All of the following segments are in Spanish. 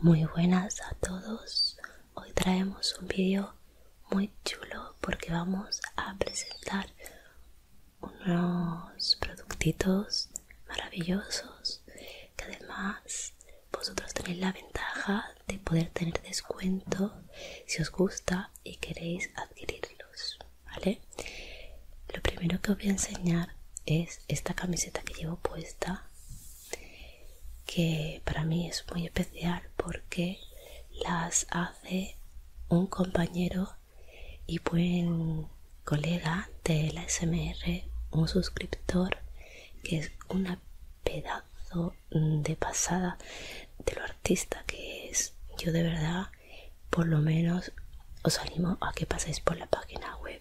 Muy buenas a todos, Hoy traemos un vídeo muy chulo porque vamos a presentar unos productitos maravillosos que además vosotros tenéis la ventaja de poder tener descuento si os gusta y queréis adquirirlos, Lo primero que os voy a enseñar es esta camiseta que llevo puesta que para mí es muy especial porque las hace un compañero y buen colega de la SMR, un suscriptor que es un pedazo de pasada de lo artista que es. Yo de verdad, por lo menos, os animo a que paséis por la página web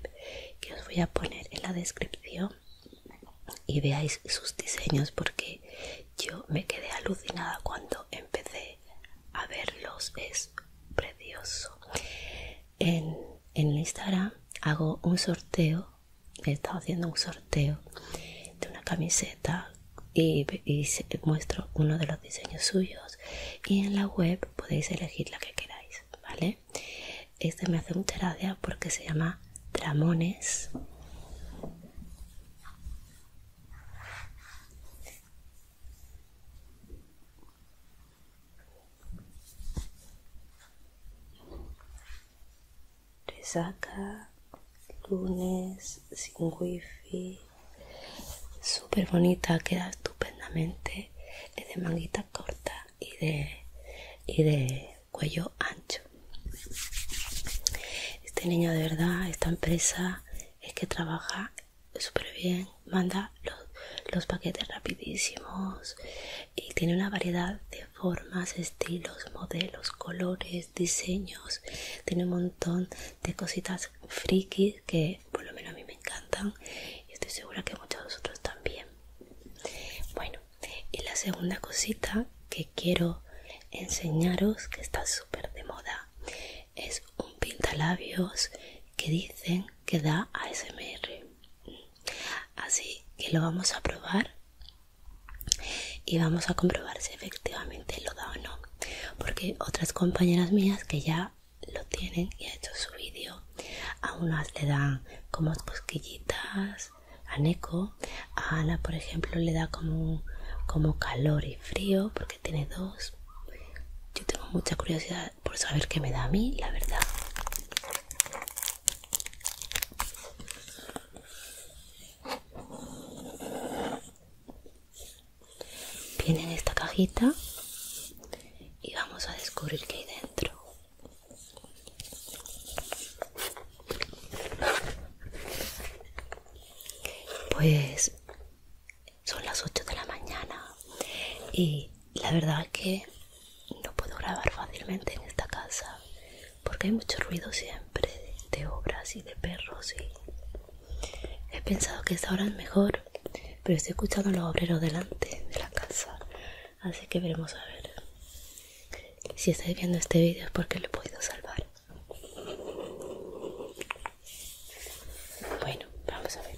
que os voy a poner en la descripción y veáis sus diseños porque yo me quedé alucinada cuando empecé a verlos. Es precioso. En, en Instagram hago un sorteo, he estado haciendo un sorteo de una camiseta y muestro uno de los diseños suyos y en la web podéis elegir la que queráis, ¿vale? Este me hace un gracia porque se llama Tramones. Resaca, lunes, sin wifi. Súper bonita, queda estupendamente. Es de manguita corta y de, y de cuello ancho. Este niño de verdad, esta empresa es que trabaja súper bien, manda los, paquetes rapidísimos y tiene una variedad de formas, estilos, modelos, colores, diseños. Tiene un montón de cositas frikis que por lo menos a mí me encantan y estoy segura que muchos de vosotros también. Bueno, y la segunda cosita que quiero enseñaros que está súper de moda es un pintalabios que dicen que da ASMR así que lo vamos a probar y vamos a comprobar si efectivamente lo da o no porque otras compañeras mías que ya lo tienen y ha hecho su vídeo a unas le dan como cosquillitas a Neko. A Ana, por ejemplo, le da como, como calor y frío porque tiene dos. Yo tengo mucha curiosidad por saber qué me da a mí, la verdad. Viene en esta cajita y vamos a descubrir qué hay dentro. Pues son las 8 de la mañana y la verdad que no puedo grabar fácilmente en esta casa porque hay mucho ruido siempre de, obras y de perros y he pensado que esta hora es mejor pero estoy escuchando a los obreros delante de la casa así que veremos a ver si estáis viendo este video es porque lo puedo salvar. Bueno, vamos a ver.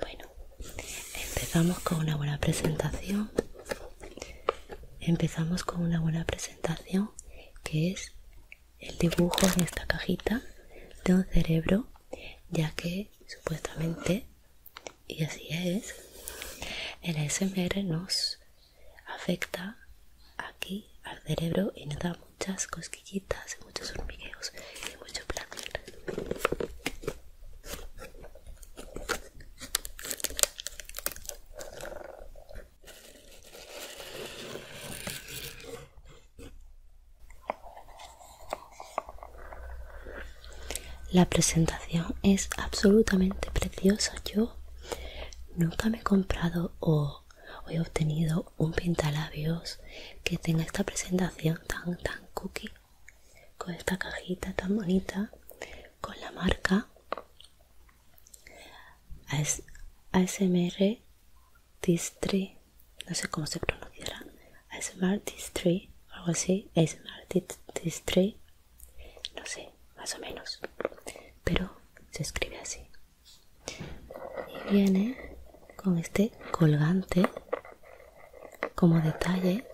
Bueno, empezamos con una buena presentación. Empezamos con una buena presentación que es el dibujo en esta cajita de un cerebro, ya que supuestamente, y así es, el SMR nos afecta aquí al cerebro y nos da muchas cosquillitas, muchos hormigueos y mucho placer. La presentación es absolutamente preciosa. Yo nunca me he comprado o hoy he obtenido un pintalabios que tenga esta presentación tan tan cookie con esta cajita tan bonita con la marca ASMR Distri no sé cómo se pronunciará ASMR Distri algo así ASMR Distri no sé más o menos pero se escribe así y viene con este colgante como detalle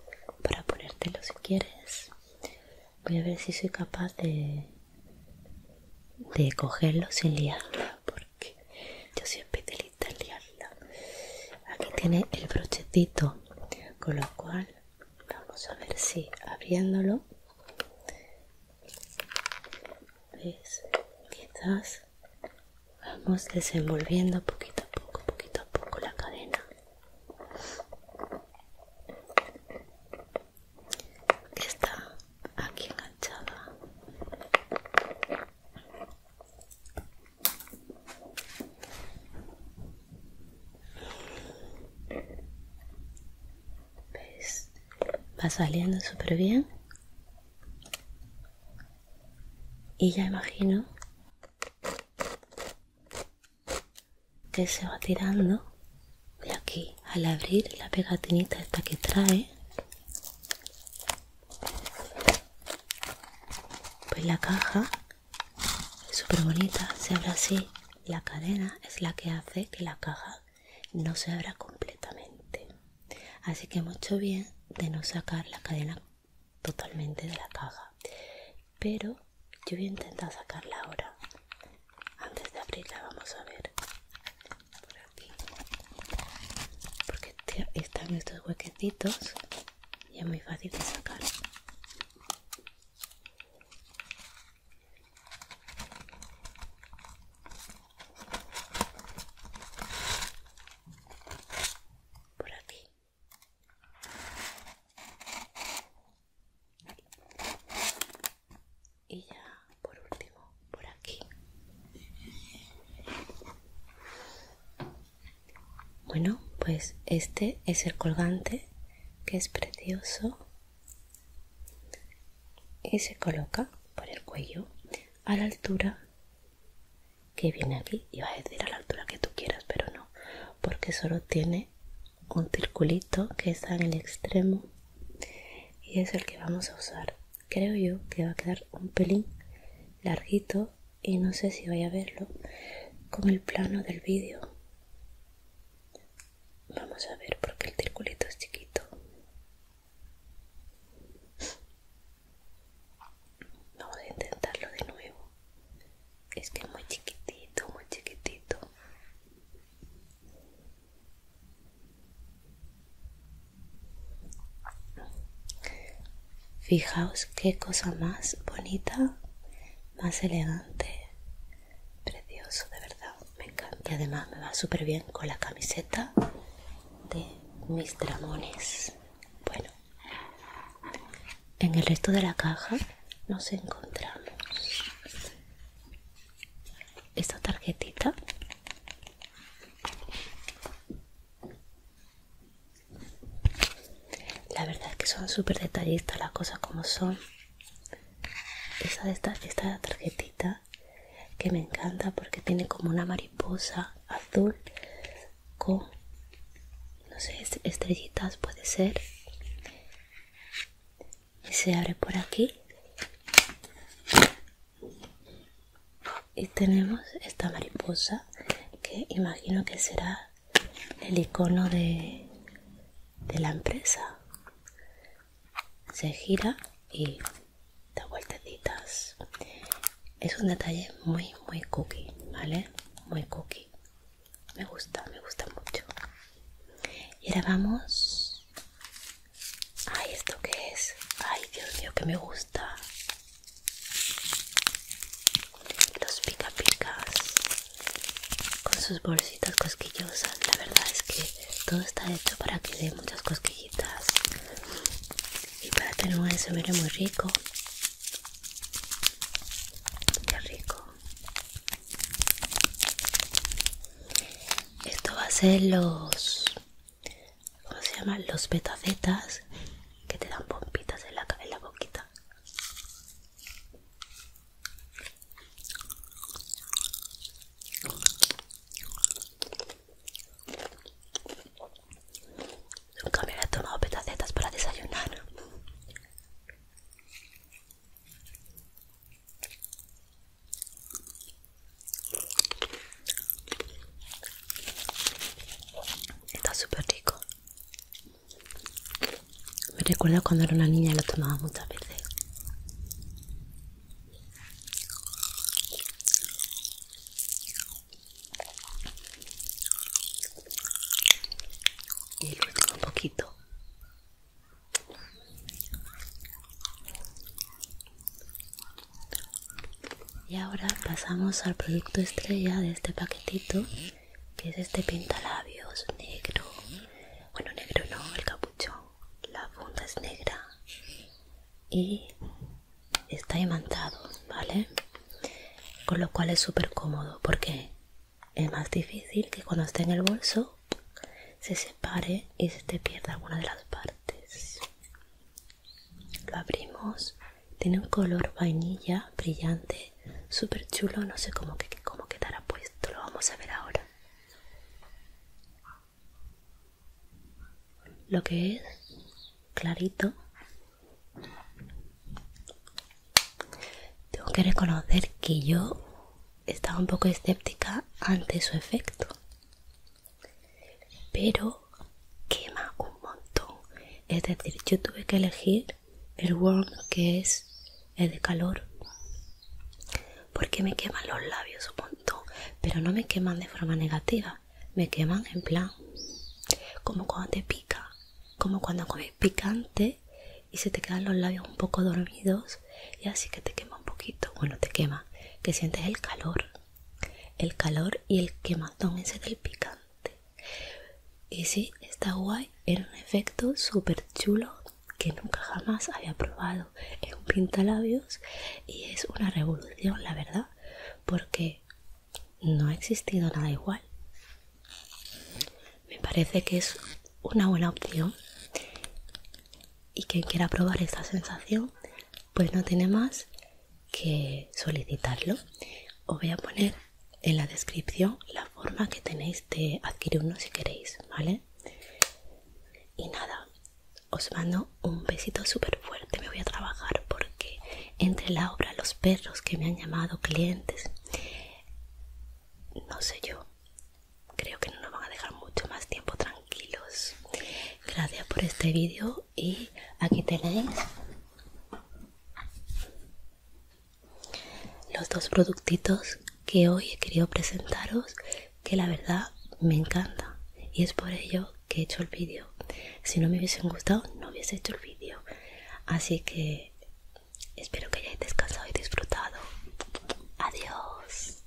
para ponértelo si quieres voy a ver si soy capaz de de cogerlo sin liarla porque yo soy especialista en liarla aquí tiene el brochetito con lo cual vamos a ver si abriéndolo Quizás vamos desenvolviendo poquito a poco, poquito a poco la cadena. Que está aquí enganchada. ¿Ves? Va saliendo súper bien y ya imagino que se va tirando de aquí al abrir la pegatinita esta que trae pues la caja es súper bonita se abre así la cadena es la que hace que la caja no se abra completamente. Así que mucho bien de no sacar la cadena totalmente de la caja. Pero yo voy a intentar sacarla ahora. Antes de abrirla vamos a ver. Por aquí. Porque están estos huequetitos y es muy fácil de sacar por aquí y ya por último por aquí bueno pues este es el colgante que es precioso y se coloca por el cuello a la altura que viene aquí. va a decir a la altura que tú quieras, pero no, porque solo tiene un circulito que está en el extremo y es el que vamos a usar. Creo yo que va a quedar un pelín larguito y no sé si voy a verlo con el plano del vídeo. Vamos a ver porque el circulito es chiquito. Vamos a intentarlo de nuevo. Es que es muy chiquitito, muy chiquitito. Fijaos qué cosa más bonita, más elegante, precioso, de verdad, me encanta. Y además me va súper bien con la camiseta de mis tramones Bueno, en el resto de la caja nos encontramos esta tarjetita la verdad es que son súper detallistas las cosas como son esta, esta, esta tarjetita que me encanta porque tiene como una mariposa azul con no sé estrellitas puede ser y se abre por aquí y tenemos esta mariposa que imagino que será el icono de la empresa se gira y da vueltecitas. Es un detalle muy, muy cookie, ¿vale? Muy cookie. Me gusta, me gusta mucho. Y ahora vamos... Ay, ¿esto qué es? Ay, Dios mío, que me gusta. Los pica picas con sus bolsitas cosquillosas. La verdad es que todo está hecho para que dé muchas cosquillas y para tener un vea muy rico que rico esto va a ser los ¿cómo se llaman? los petacetas que te dan pompitas en la, en la boquita Nunca me había tomado petacetas para desayunar. Está súper rico. Me recuerdo cuando era una niña y lo tomaba muchas veces. Y el último poquito. Y ahora pasamos al producto estrella de este paquetito, que es este pintalabios negro. Bueno, negro no, el capuchón. La funda es negra. Y está imantado, ¿vale? Con lo cual es súper cómodo porque es más difícil que cuando esté en el bolso se separe y se te pierda alguna de las partes. Lo abrimos, tiene un color vainilla brillante, súper chulo, no sé cómo, cómo quedará puesto, lo vamos a ver ahora lo que es clarito tengo que reconocer que yo estaba un poco escéptica ante su efecto pero quema un montón es decir yo tuve que elegir el warm que es el de calor porque me queman los labios un montón pero no me queman de forma negativa me queman en plan. Como cuando te pica, como cuando comes picante y se te quedan los labios un poco dormidos y así que te quema un poquito. Bueno, te quema, que sientes el calor. El calor y el quemazón ese del picante. Y sí, está guay, era un efecto súper chulo que nunca jamás había probado. en un pintalabios y es una revolución, la verdad porque no ha existido nada igual. Me parece que es una buena opción y quien quiera probar esta sensación pues no tiene más que solicitarlo. Os voy a poner en la descripción la forma que tenéis de adquirir uno si queréis, ¿vale? Y nada, os mando un besito súper fuerte. Me voy a trabajar porque entre la obra, los perros que me han llamado clientes, no sé yo, creo que no nos van a dejar mucho más tiempo tranquilos. Gracias por este vídeo y aquí tenéis los dos productitos que hoy he querido presentaros que la verdad me encantan y es por ello que he hecho el vídeo. Si no me hubiesen gustado, no hubiese hecho el vídeo. Así que espero que hayáis descansado y disfrutado. Adiós.